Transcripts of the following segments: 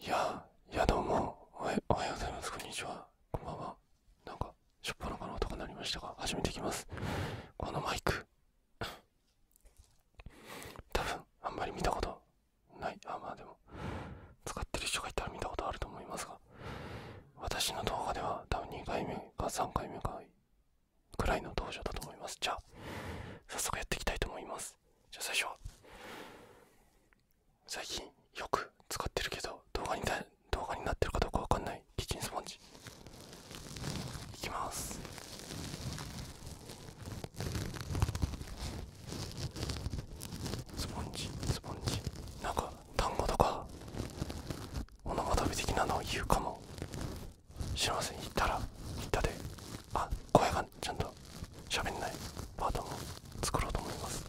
いや、いやどうもおは、ようございます、こんにちは、こんばんは。なんか、しょっぱなかの音が鳴りましたが、始めてきます。このマイク、多分、あんまり見たことない、あ、まあでも、使ってる人がいたら見たことあると思いますが、私の動画では多分2回目か3回目かくらいの登場だと思います。じゃあ、早速やっていきたいと思います。じゃあ最初最近よく使ってるけど動画に動画になってるかどうかわかんないキッチンスポンジいきますスポンジスポンジなんか単語とか物語的なのを言うかも知らません言ったら言ったであ声がちゃんと喋んないパートも作ろうと思います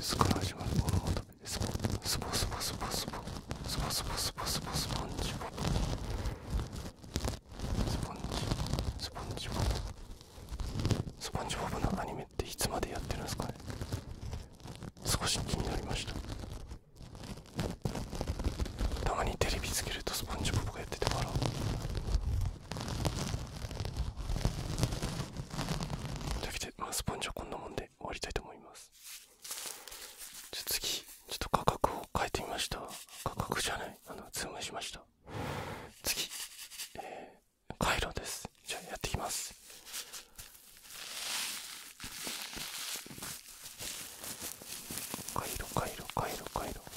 すから始まのものを食べてスポスポスポスポスポスポスポスポスポスポンジポスポンジスポンジボポスポンジボブのアニメっていつまでやってるんですかね少し気になりましたたまにテレビつけるとスポンジボブがやっててからというわけで、まあ、スポンジはこんなもんで終わりたいと思いますじゃ次ちょっと価格を変えてみました価格じゃないあのズームしました次、えカイロですじゃあやっていきますカイロカイロカイロカイロ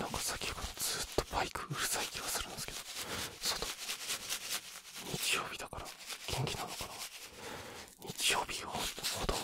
なんか先ほどずっとバイクうるさい気がするんですけど外日曜日だから元気なのかな日曜日は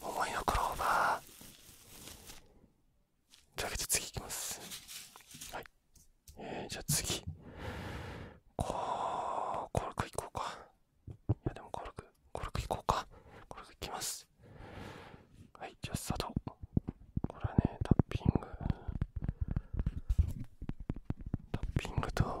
思いのクローバーじゃあ、わけで次いきますはいえー、じゃあ次こコルクいこうかいやでもコルクコルクいこうかコルクいきますはいじゃあスタートこれはねタッピングタッピングと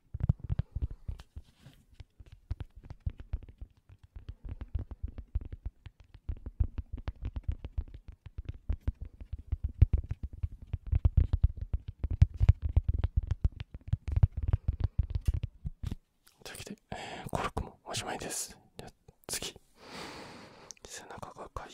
というわけで、えー、コルクもおしまいです。じゃあ次、背中がかいい。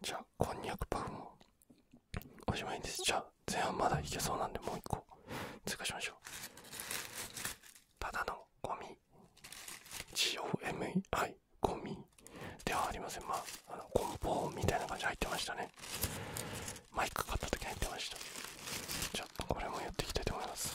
じゃあこんにゃくパフもおしまいですじゃあ前半まだいけそうなんでもう1個追加しましょうただのゴミ GOMI はいゴミではありませんまああの梱包みたいな感じ入ってましたねマイク買った時入ってましたちょっとこれもやっていきたいと思います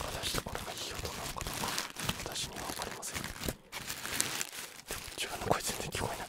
果たしてこれがいい音なのかどうか私には分かりませんでも自分の声全然聞こえない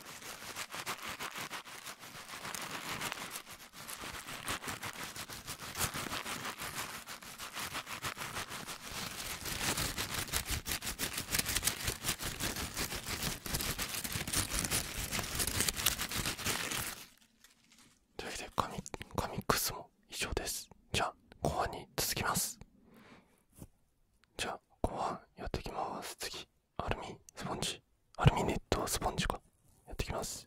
というわけでカミックスも以上ですじゃあ後半に続きますじゃあ後半やっていきます次アルミスポンジアルミネットスポンジかやってきます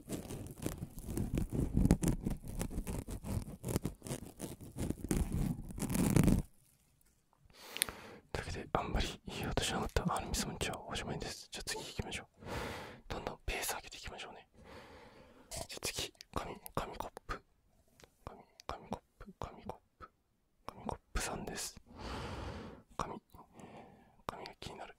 だけであんまりいい音しなかったアルミソンチはおしまいですじゃあ次行きましょうどんどんペース上げていきましょうねじゃあ次紙紙コップ紙紙コップ紙コップ紙コップさんです紙紙が気になる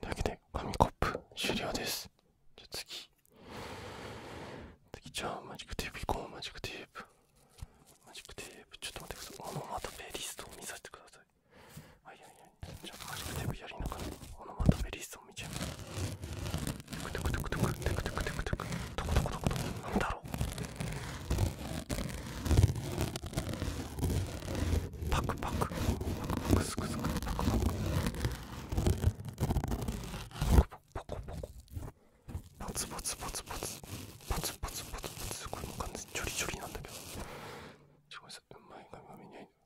というわけで紙コップ終了ですじゃあ次次じゃあマジックテープいこうマジックテープマジックテープちょっと待ってくださいこのまたペリストを見させてくださいはいはいはいちょっと初めてもやりなすくちょっとめんなうまいが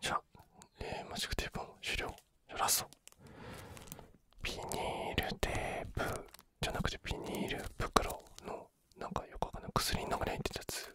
じゃあ、えー、マジックテープも終了じゃラストビニールテープじゃなくてビニール袋のなんかよくわかん薬の中にってやつ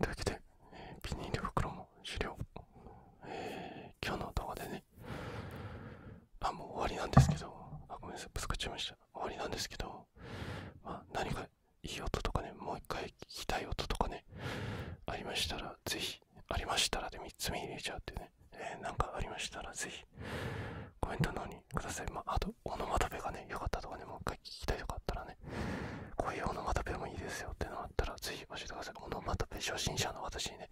というわけで、えー、ビニール袋も終了、今日の動画でねあもう終わりなんですけどあごめんなさいぶつかっちゃいました終わりなんですけど、ま何かいい音とかねもう一回聞きたい音とかねありましたらぜひありましたらで3つ目入れちゃってね、えー、かありましたらぜひコメントの方ににください、まあ、あとオノマトペがね良かったとかねもう一回聞きたいとかあったらねこういうオノマトペもいいですよってのあったらぜひ教えてくださいオノマトペ初心者の私にね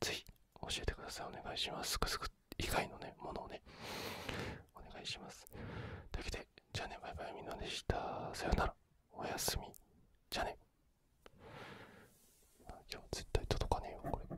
ぜひ教えてくださいお願いしますすくすく以外のねものをねお願いしますというわけでじゃあねバイバイみんなでしたさよならおやすみじゃあね今日絶対届かねえよこれ